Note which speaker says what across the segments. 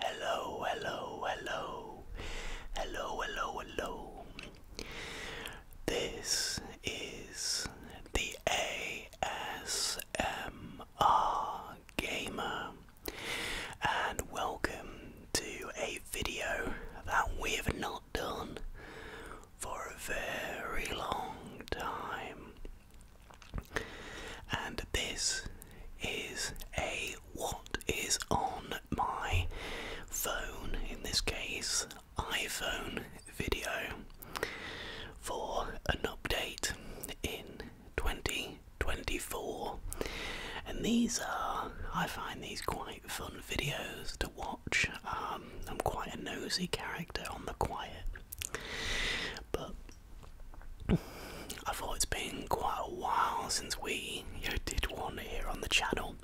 Speaker 1: Hello, hello, hello. Hello, hello, hello. This is the ASMR Gamer, and welcome to a video that we have not done for a very long time. And this is a what is on my phone, in this case, iPhone video for an update in 2024. And these are, I find these quite fun videos to watch. Um, I'm quite a nosy character on the quiet. But I thought it's been quite a while since we did one here on the channel,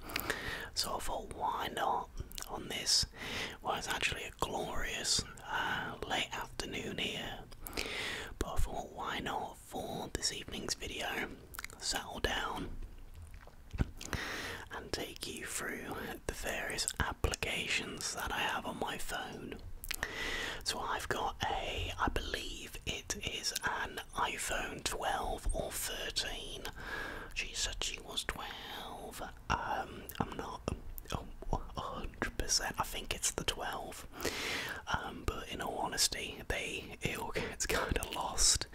Speaker 1: so I thought why not on this? Well, it's actually a glorious uh, late afternoon here, but I thought why not for this evening's video? Settle down and take you through the various applications that I have on my phone. So I've got a, I believe it is an iPhone 12 or 13. She said she was 12. Um, I'm not um, 100%. I think it's the 12. Um, but in all honesty, the it all kind of lost.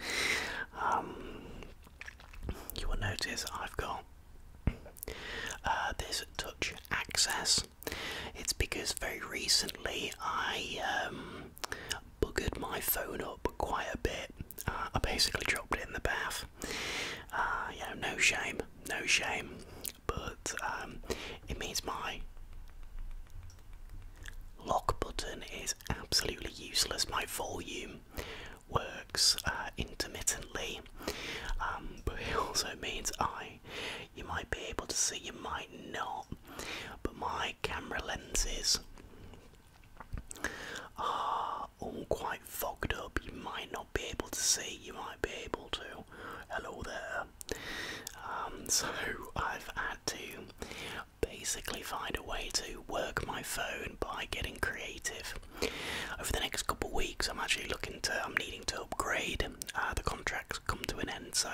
Speaker 1: Um, you will notice I've got uh, this touch access it's because very recently I um, my phone up quite a bit. Uh, I basically dropped it in the bath. Uh, you know, no shame, no shame. But um, it means my lock button is absolutely useless. My volume works uh, intermittently, um, but it also means I you might be able to see, you might not. But my camera lenses are all quite fogged up. You might not be able to see, you might be able to. Hello there. Um, so I've had to basically find a way to work my phone by getting creative. Over the next couple of weeks, I'm actually looking to, I'm needing to upgrade uh, the contracts come to an end. So,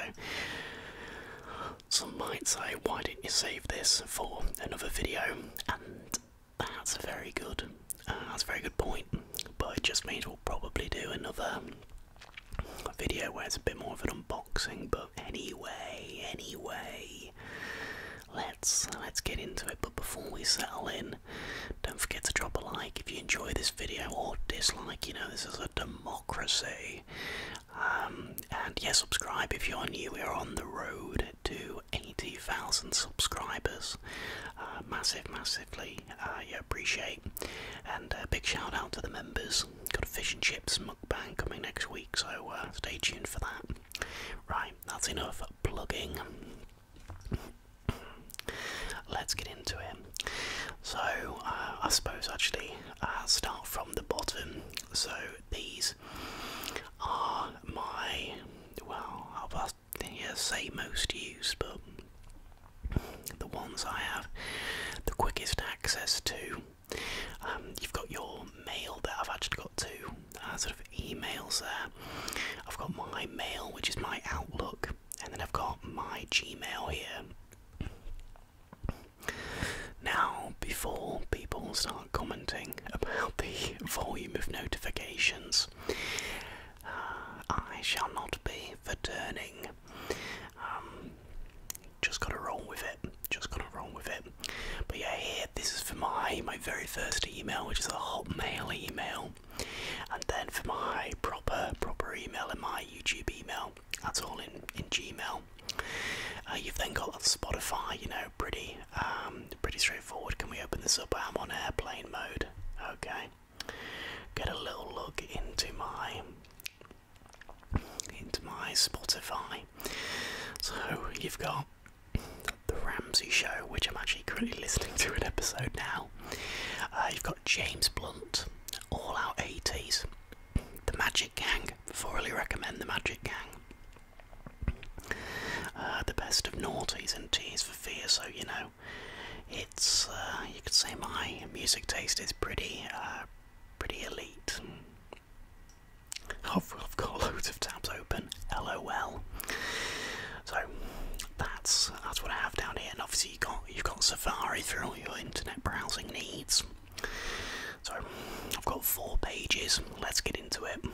Speaker 1: some might say, why didn't you save this for another video? And that's a very good, uh, that's a very good point. But it just means we'll probably do another video where it's a bit more of an unboxing. But anyway, anyway, let's let's get into it. But before we settle in, don't forget to drop a like if you enjoy this video or dislike. You know, this is a democracy. Um, and yeah, subscribe if you're new. We're on the road to 80,000 subscribers. Uh, massive, massively. I uh, appreciate. And a uh, big shout out to the members. Got a fish and chips mukbang coming next week, so stay tuned for that. Right, that's enough plugging. Let's get into it. So, uh, I suppose actually, uh, start from the bottom. So, these are my, well, I'll past, yeah, say most used, but the ones I have the quickest access to. Um, you've got your mail that I've actually got two uh, sort of emails there. I've got my mail, which is my Outlook, and then I've got my Gmail here. Now, before people start commenting about the volume of notifications, I shall not be returning. Um, just gotta roll with it. Just gotta roll with it. But yeah, here this is for my my very first email, which is a Hotmail email. And then for my proper proper email and my YouTube email, that's all in in Gmail. Uh, you've then got Spotify. You know, pretty um, pretty straightforward. Can we open this up? I'm on airplane mode. Okay. Get a little look into my into my Spotify. So you've got the Ramsey Show, which I'm actually currently listening to an episode now now. Uh, you've got James Blunt, All our 80s, The Magic Gang, thoroughly recommend The Magic Gang. Uh, the best of noughties and teas for fear, so you know, it's, uh, you could say my music taste is pretty, pretty elite. I've, I've got loads of tabs open, lol. So that's that's what I have down here, and obviously you got you've got Safari for all your internet browsing needs. So I've got four pages, let's get into it.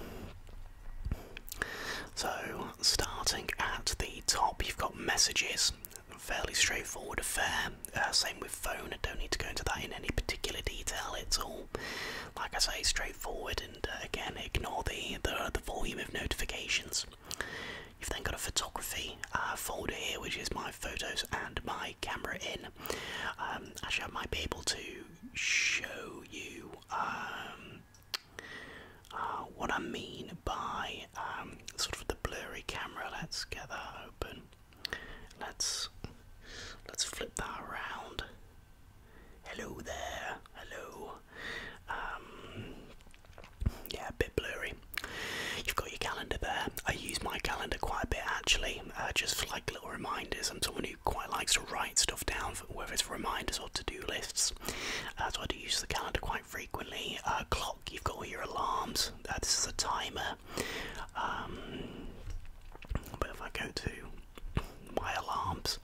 Speaker 1: So, starting at the top, you've got messages, fairly straightforward affair. Uh, same with phone, I don't need to go into that in any particular detail. It's all, like I say, straightforward. And uh, again, ignore the the volume of notifications. You've then got a photography uh, folder here, which is my photos and my camera in. Um, actually, I might be able to show you um, uh, what I mean by um, sort of the blurry camera. Let's get that open. Let's let's flip that around. Hello there. Hello yeah, a bit blurry. You've got your calendar there. I use my calendar quite a bit actually, uh, just for like little reminders. I'm someone who quite likes to write stuff down, whether it's reminders or to-do lists. Uh, so I do use the calendar quite frequently. Uh, clock, you've got all your alarms. Uh, this is a timer. Um, but if I go to my alarms,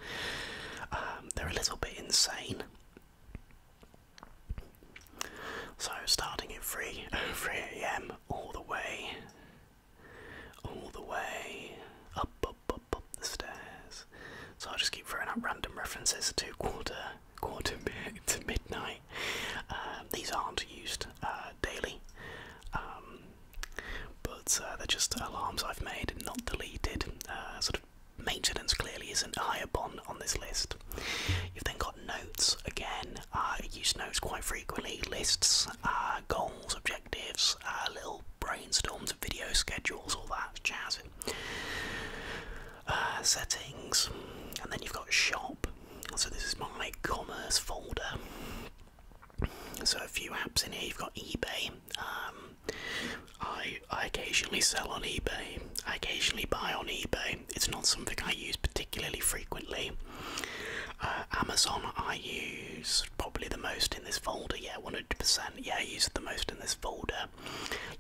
Speaker 1: um, they're a little bit insane. So starting at 3 3 a.m. all the way all the way up up up up the stairs. So I'll just keep throwing up random references to quarter quarter to midnight. Uh, these aren't used uh, daily. Um, but uh, they're just alarms I've made, and not deleted, uh, sort Maintenance clearly isn't a higher bond on this list. You've then got notes again. I uh, use notes quite frequently. Lists, uh, goals, objectives, uh, little brainstorms, video schedules, all that jazz. Uh, settings, and then you've got shop. So this is my commerce folder. So a few apps in here. You've got eBay. Um, I, I occasionally sell on eBay. I occasionally buy on eBay. It's not something I use particularly frequently. Uh, Amazon I use probably the most in this folder. Yeah, 100%. Yeah, I use it the most in this folder.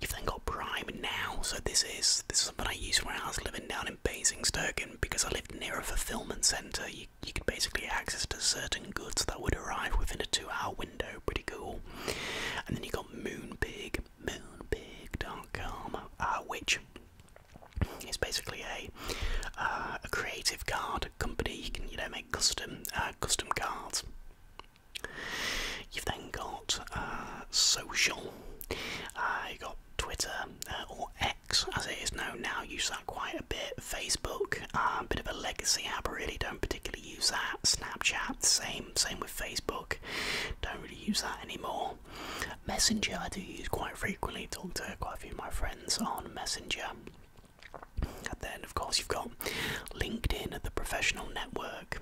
Speaker 1: You've then got Prime now. So this is this is something I used when I was living down in Basingstoke because I lived near a fulfillment centre. You, you could basically access to certain goods that would arrive within a two-hour window. Pretty cool. And then you got Moonpig moonpig.com, um, uh, which is basically a uh, a creative card company. You can you know make custom uh, custom cards. You've then got social. Uh, you got Twitter or X as it is known now. Use that quite a bit. Facebook, a bit of a legacy app. really don't particularly use that. Snapchat, same. Same with Facebook. Don't really use that anymore. Messenger I do use quite frequently. Talk to quite a few of my friends on Messenger. And then of course you've got LinkedIn, the professional network.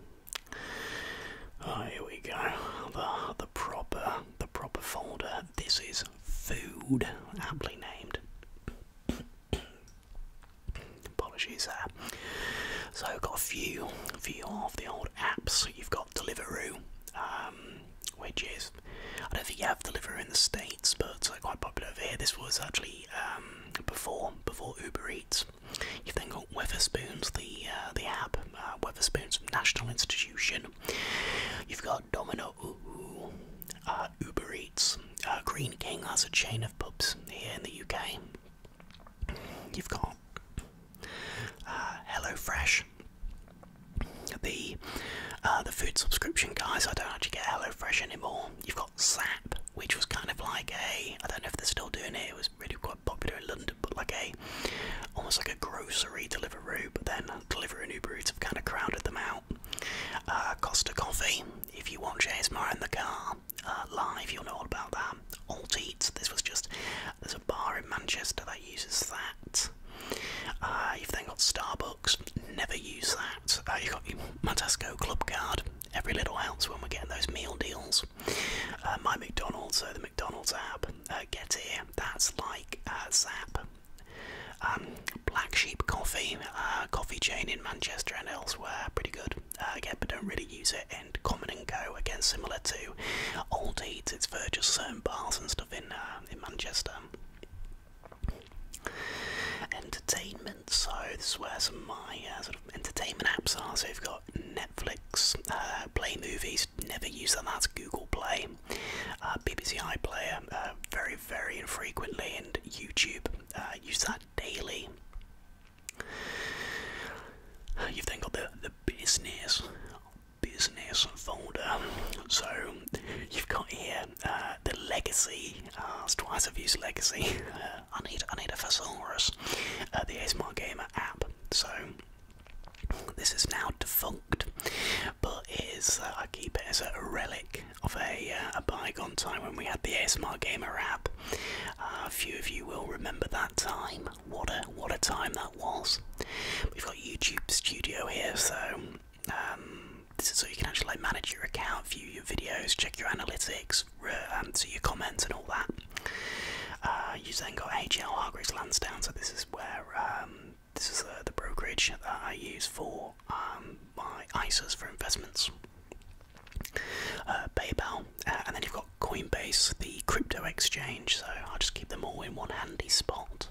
Speaker 1: Oh, here we go. The the proper the proper folder. This is food, aptly named. Apologies there. So I've got a few, few of the old apps. You've got Deliveroo, um, which is I don't think you have Deliveroo in the states, but it's uh, quite popular over here. This was actually um, before before Uber Eats. You've then got Weatherspoons, the uh, the app, uh, Weatherspoons National Institution. You've got Domino, uh, Uber Eats, Green King. has a chain of pubs here in the UK. You've got uh, Hello Fresh, The uh, the food subscription guys. I don't actually get Hello Fresh anymore. You've got Zap, which was kind of like a I don't know if they're still doing it. It was really quite popular in London, but like a almost like a grocery Deliveroo. But then Deliveroo and Uber have kind of crowded them out. Uh, Costa Coffee. If you want ASMR in the car, uh, live. You'll know all about that. Alt Eats. This was just there's a bar in Manchester that uses that. Uh, you've then got Starbucks. Never use that. Uh, you've got your Matasco Club Card. Every little else when we're getting those meal deals. Uh, my McDonald's, so the McDonald's app. Uh, get here. That's like uh, Zap. Um, Black Sheep Coffee, uh, coffee chain in Manchester and elsewhere, pretty good. Uh, again, but don't really use it. And Common and Go again, similar to Old Eats, it's for just certain bars and stuff in uh, in Manchester. Entertainment. So this is where some of my uh, sort of entertainment apps are. So we have got Netflix, Play Movies. Never use that. That's Google Play, BBC iPlayer. Uh, very very infrequently, and YouTube. use that daily. You've then got the the business business folder. So you've got here uh, the legacy. it's uh, twice I've used legacy. Uh, I need I need a thesaurus. the ASMR Gamer app. So this is now defunct, but it is I keep it as a relic of a, a bygone time when we had the ASMR Gamer app. Uh, a few of you will remember that time. What a what a time that was. We've got YouTube Studio here, so um, this is so you can actually manage your account, view your videos, check your analytics, answer um, your comments, and all that. Uh, you then got AGL Hargreaves Lansdowne, so this is where um, this is uh, the brokerage that I use for my ISAs for investments. Uh, PayPal, uh, and then you've got Coinbase, the crypto exchange. So I'll just keep them all in one handy spot.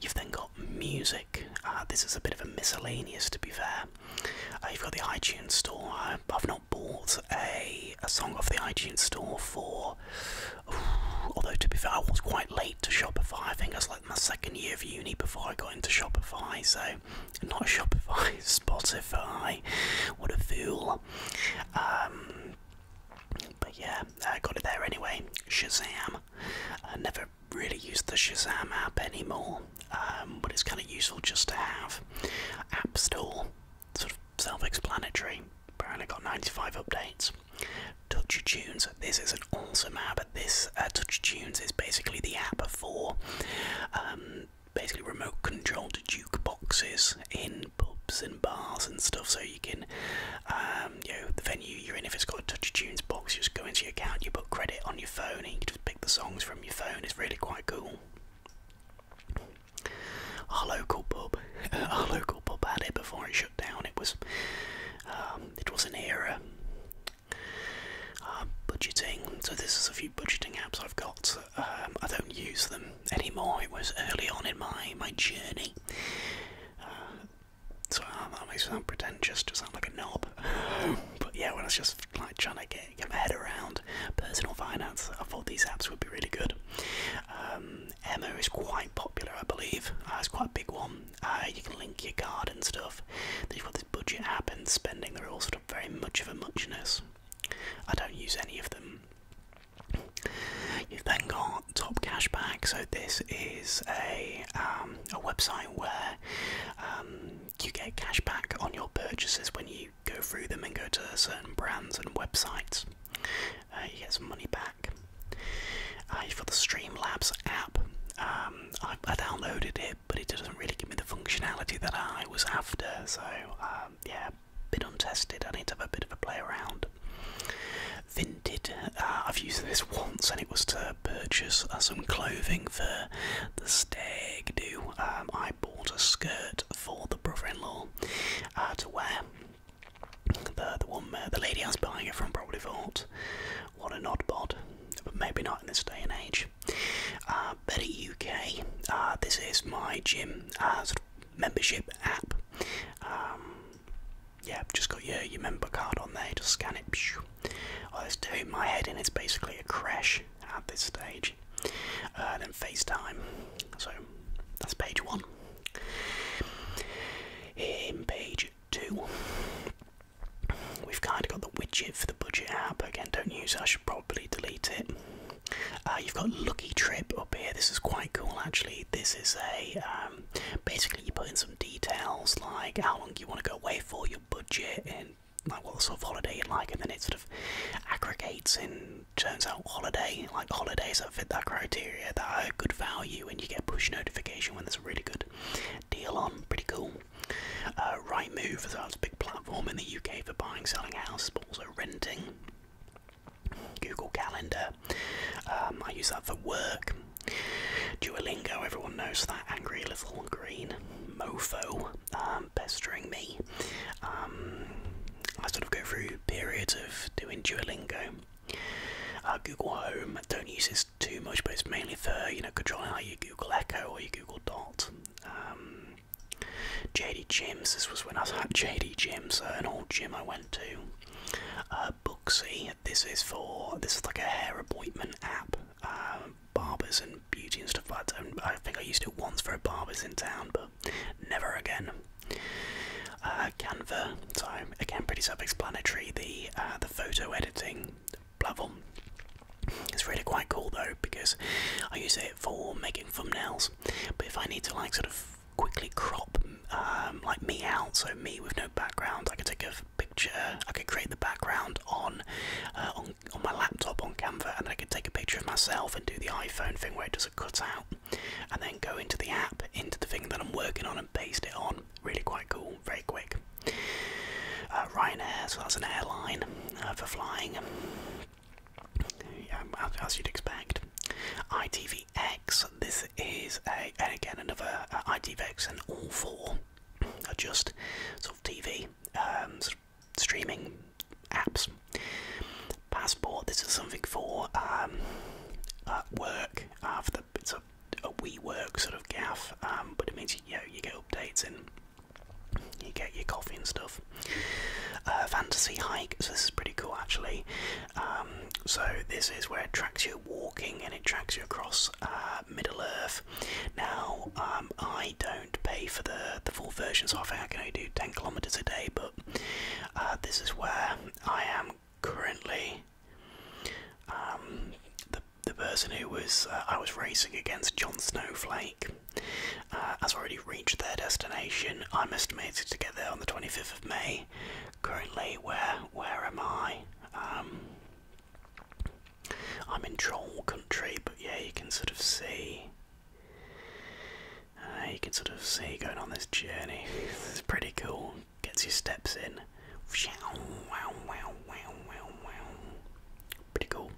Speaker 1: You've then got music. Uh, this is a bit of a miscellaneous, to be fair. Uh, you've got the iTunes Store. I, have not bought a, a song off the iTunes Store for. although, to be fair, I was quite late to Shopify. I think it was like my second year of uni before I got into Shopify, so not Shopify, Spotify. What a fool. Um, but yeah, I got it there anyway. Shazam. I never really used the Shazam app anymore, um, but it's kind of useful just to have. App Store, sort of self explanatory. Apparently, got 95 updates. Touch Tunes. This is an awesome app. This uh, Touch Tunes is basically the app for um, basically remote controlled jukeboxes in pubs and bars and stuff so you can um, you know the venue you're in if it's got a touch tunes box you just go into your account you put credit on your phone and you just pick the songs from your phone it's really quite cool our local pub our local pub had it before it shut down it was um, it was an era um, budgeting, so this is a few budgeting apps I've got. Um, I don't use them anymore. It was early on in my my journey. Uh, so uh, that makes me sound pretentious to sound like a knob. but yeah, when I was just like trying to get, get my head around personal finance, I thought these apps would be really good. Um, Emma is quite popular, I believe. Uh, it's quite a big one. Uh, you can link your card and stuff. Budget app and spending, they're all sort of very much of a muchness. I don't use any of them. You've then got Top Cashback, so this is a um, a website where um, you get cashback on your purchases when you go through them and go to certain brands and websites. Uh, you get some money back. I you've got the Streamlabs app. Um, I, downloaded it, but it doesn't really give me the functionality that I was after. So um, yeah, bit untested. I need to have a bit of a play around. Vinted. Uh, I've used this once, and it was to purchase uh, some clothing for the stag do. Um, I bought a skirt for the brother-in-law uh, to wear. The the one the lady I was buying it from probably thought, what an odd bod, but maybe not in this day and age. Um, Better UK. Uh, this is my gym uh, membership app. Um, yeah, just got your your member card on there. Just scan it. I oh, it's doing my head in. It's basically a crash at this stage. Uh, then FaceTime. So that's page one. In page two, we've kind of got the widget for the budget app. Again, don't use that probably delete it. Uh, you've got Lucky Trip up here. This is quite cool, actually. This is a um, basically you put in some details like how long you want to go away for, your budget, and like what sort of holiday you like, and then it sort of aggregates and turns out holiday like holidays that fit that criteria that are good value, and you get push notification when there's a really good deal on. Pretty cool. Uh, Rightmove as well as a big platform in the UK for buying, selling houses, or renting. Google Calendar, um, I use that for work. Duolingo, everyone knows that. Angry little green mofo um, pestering me. Um, I sort of go through periods of doing Duolingo. Uh, Google Home, don't use this too much, but it's mainly for you know controlling how Google Echo or you Google Dot. Um, JD Gyms, this was when I had JD Gyms, uh, an old gym I went to. Uh, Booksy, this is for, this is like a hair appointment app. Um, barbers and beauty and stuff like that. I think I used it once for a barber's in town, but never again. Uh, Canva, so again, pretty self-explanatory. The the photo editing platform. It's really quite cool though because I use it for making thumbnails. But if I need to like sort of quickly crop um, like me out, so me with no background, I can take a picture. I can create the background on uh, on on my laptop on Canva, and I can take a picture of myself and do the iPhone thing where it does a cutout, and then go into the app, into the thing that I'm working on, and paste it on. Really quite cool, very quick. Uh, Ryanair, so that's an airline uh, for flying, as you'd expect. ITVX, this is a, again another uh, ITVX and all four are just sort of TV um, streaming apps. Passport, this is something for um, uh, work after it's a, a we work sort of gaff, um, but it means you, know, you get updates in you get your coffee and stuff. Uh, fantasy hike, so this is pretty cool actually. Um, so this is where it tracks you walking and it tracks you across uh, Middle Earth. Now um, I don't pay for the the full version, so I think I can only do 10 kilometers a day. But uh, this is where I am currently. Um, the person who was uh, I was racing against, John Snowflake, uh, has already reached their destination. I'm estimated to get there on the 25th of May. Currently, where where am I? Um, I'm in troll country, but yeah, you can sort of see. Uh, you can sort of see going on this journey. it's pretty cool. Gets your steps in. Wow, wow, wow, wow, wow, wow. Pretty cool.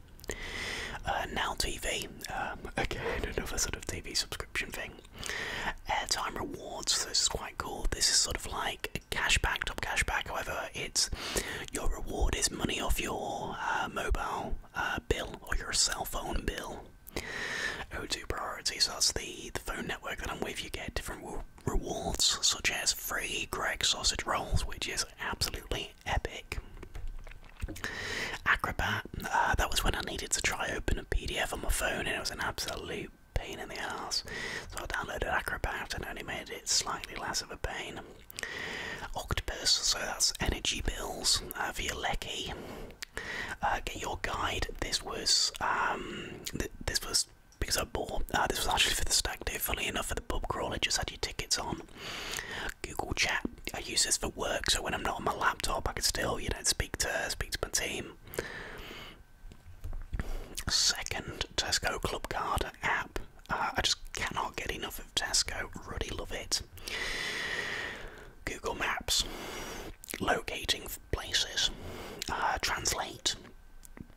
Speaker 1: Uh, now TV, um, again another sort of TV subscription thing. Airtime rewards, this is quite cool. This is sort of like cashback, top cashback. However, it's your reward is money off your uh, mobile uh, bill or your cell phone bill. O2 Priority, so that's the, the phone network that I'm with. You get different rewards such as free Greg sausage rolls, which is absolutely epic. Acrobat, uh, that was when I needed to try open a PDF on my phone and it was an absolute pain in the ass. So I downloaded Acrobat and only made it slightly less of a pain. Octopus, so that's energy bills uh, via Lecky. Uh, get your guide. This was um, this was because I bought. Uh, this was actually for the stag day. Funny enough, for the pub crawl, it just had your tickets on. Google Chat. I use this for work, so when I'm not on my laptop, I can still, you know, speak to speak to my team. Second, Tesco Clubcard app. Uh, I just cannot get enough of Tesco. Really love it. Google Maps, locating places, uh, translate.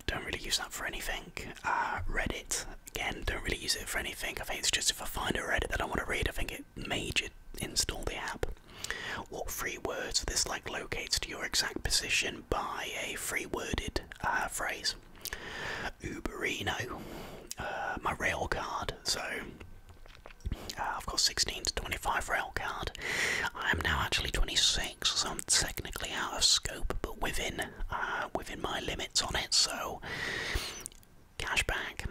Speaker 1: Don't really use that for anything. Uh, Reddit, Again, don't really use it for anything. I think it's just if I find a read that I want to read, I think it made you install the app. What free words this like locates to your exact position by a free worded uh, phrase? Uberino, uh, my rail card. So uh, I've got 16 to 25 rail card. I am now actually 26, so I'm technically out of scope, but within uh, within my limits on it, so cashback, back.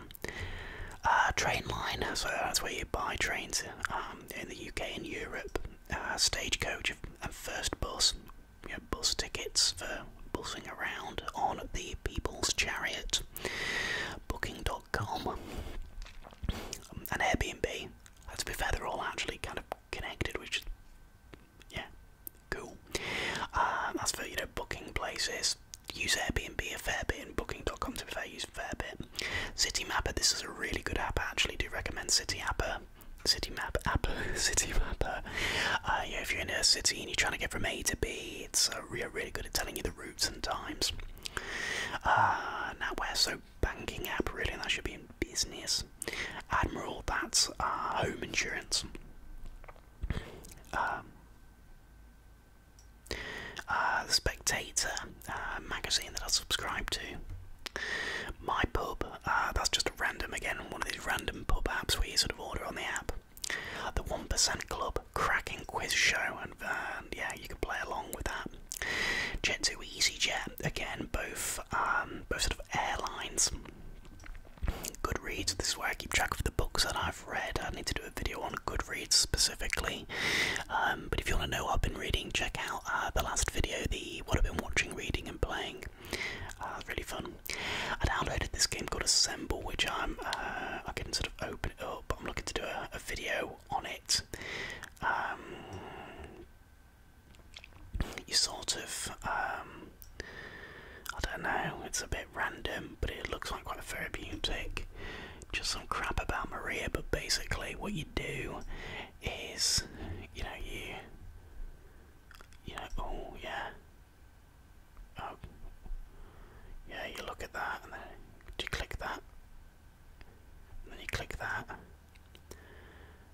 Speaker 1: Uh, train line, so that's where you buy trains um, in the UK and Europe. Uh, stagecoach and first bus, you know, bus tickets for bussing around on the People's Chariot. Booking.com, um, an Airbnb. to be fair, they're all actually kind of connected, which is yeah, cool. Um, as for you know booking places, use Airbnb a fair bit and Booking.com to be fair, use a fair bit. City Mapper, this is a really good app. I actually do recommend City Mapper. app, City Mapper. Uh, if you're in a city and you're trying to get from A to B, it's uh, really, really good at telling you the routes and times. Uh, now, we're so banking app really, and that should be in business. Admiral, that's uh, home insurance. Um, uh, the Spectator uh, magazine that I subscribe to. My Pub, uh, that's just random, again, one of these random pub apps where you sort of order on the app. The 1% Club, cracking quiz show, and, yeah, you can play along with that. Jet2 EasyJet, again, both, um, both sort of airlines. Goodreads. This is where I keep track of the books that I've read. I need to do a video on Goodreads specifically. Um, but if you want to know what I've been reading, check out uh, the last video, the what I've been watching, reading, and playing. Uh, really fun. I downloaded this game called Assemble, which I'm uh, I can sort of open it up. I'm looking to do a, video on it. Um, you sort of, um, I don't know, it's a bit random, but it looks like quite a therapeutic. Just some crap about Maria, but basically, what you do is, you know, you, you know, oh yeah, oh, yeah, you look at that, and then you click that, then you click that.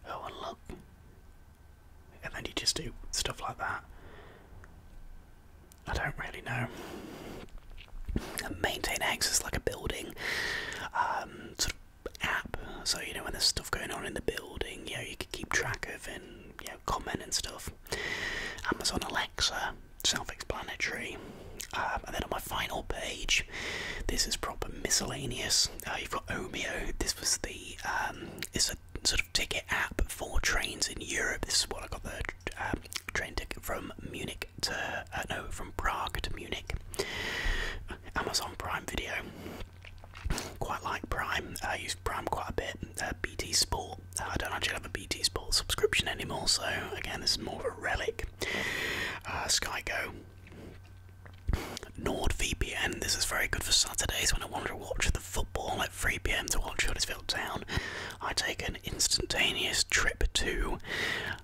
Speaker 1: Oh, and look, and then you just do stuff like that. I don't really know. Maintain access like a building um, sort of app. So you know when there's stuff going on in the building, you know you can keep track of and you know comment and stuff. Amazon Alexa, self-explanatory. Um, and then on my final page, this is proper miscellaneous. Uh, you've got Omeo. This was the um, it's a sort of ticket app for trains in Europe. This is what I got there. Um, train ticket from Munich to uh, know from Prague to Munich. Amazon Prime Video. Quite like Prime. I use Prime quite a bit. Uh, BT Sport. Uh, I don't actually have a BT Sport subscription anymore, so again, this is more of a relic. Uh, Sky Go. NordVPN, this is very good for Saturdays when I want to watch the football at 3pm to watch Huddersfield Town. I take an instantaneous trip to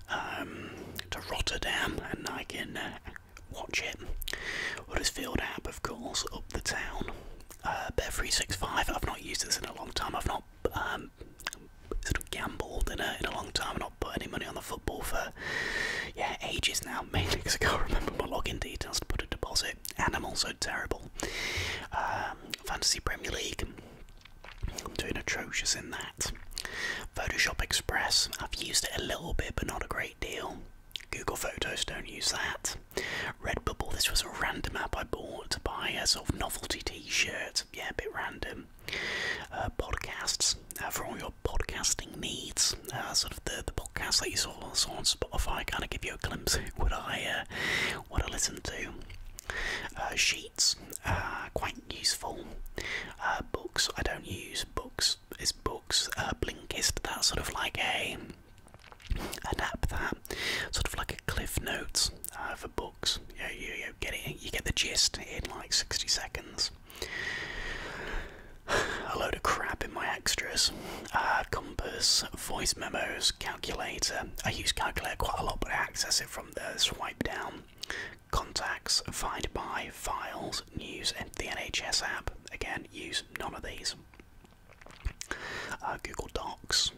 Speaker 1: um, to Rotterdam and I can uh, watch it. Huddersfield app, of course, up the town. Uh, Bet365, I've not used this in a long time, I've not um, sort of gambled in a, in a long time, I've not put any money on the football for yeah ages now, mainly because I can't remember my login details to put deposit, and I'm also terrible. Um, Fantasy Premier League, I'm doing atrocious in that. Photoshop Express, I've used it a little bit but not a great deal. Google Photos, don't use that. Redbubble, this was a random app I bought to buy a sort of novelty t shirt, yeah, a bit random. Uh, podcasts, uh, for all your podcasting needs, uh, sort of the podcasts that you saw on, Spotify kind of give you a glimpse of what I, uh, what I listen to. Uh, sheets, quite useful. Uh, books, I don't use books. It's books. Uh, Blinkist, that's sort of like a an app that sort of like a cliff notes uh, for books. you, you get it. You get the gist in like sixty seconds a load of crap in my extras. Uh, compass, voice memos, calculator. I use calculator quite a lot, but I access it from the swipe down. Contacts, find by, files, news, and the NHS app. Again, use none of these. Uh, Google Docs,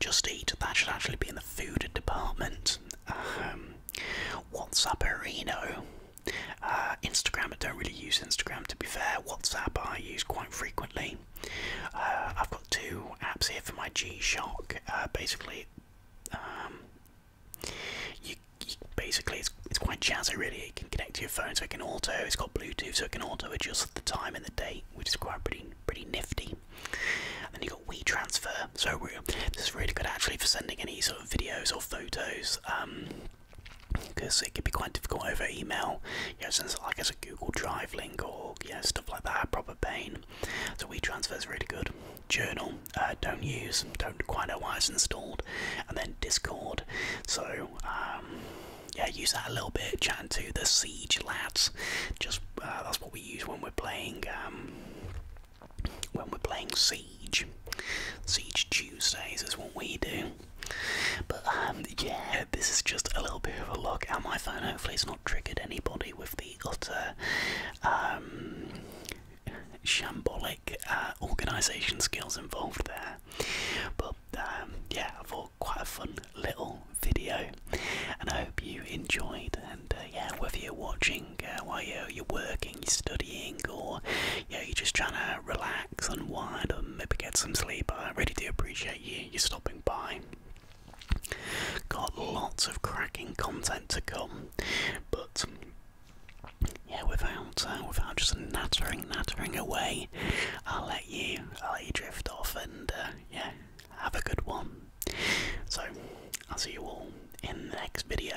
Speaker 1: Just Eat. That should actually be in the food department. Um, WhatsApp Areno. Uh, Instagram, I don't really use Instagram to be fair. WhatsApp, I use quite frequently. Uh, I've got two apps here for my G Shock. Uh, basically, um, you, basically it's, it's quite jazzy really. It can connect to your phone, so it can auto. It's got Bluetooth, so it can auto adjust the time and the date, which is quite pretty pretty nifty. then you got WeTransfer, so this is really good actually for sending any sort of videos or photos. Um, because it could be quite difficult over email, you know, since like as a Google Drive link or you stuff like that, proper pain. So WeTransfer is really good. Journal, uh, don't use, don't quite know why it's installed, and then Discord. So um, yeah, use that a little bit. Chatting to the Siege lads, just uh, that's what we use when we're playing. Um, when we're playing Siege, Siege Tuesdays is what we do. But um, yeah, this is just a little bit of a look at my phone. Hopefully, has not triggered anybody with the utter um, shambolic uh, organisation skills involved there. But um, yeah, I thought quite a fun little video, and I hope you enjoyed. And uh, yeah, whether you're watching uh, while you're, working, studying, or you you're just trying to relax relax, unwind, maybe get some sleep. I really do appreciate you, you stopping by. Got lots of cracking content to come, but yeah, without uh, without just nattering, nattering away, I'll let you, I'll let you drift off, and uh, yeah, have a good one. So I'll see you all in the next video.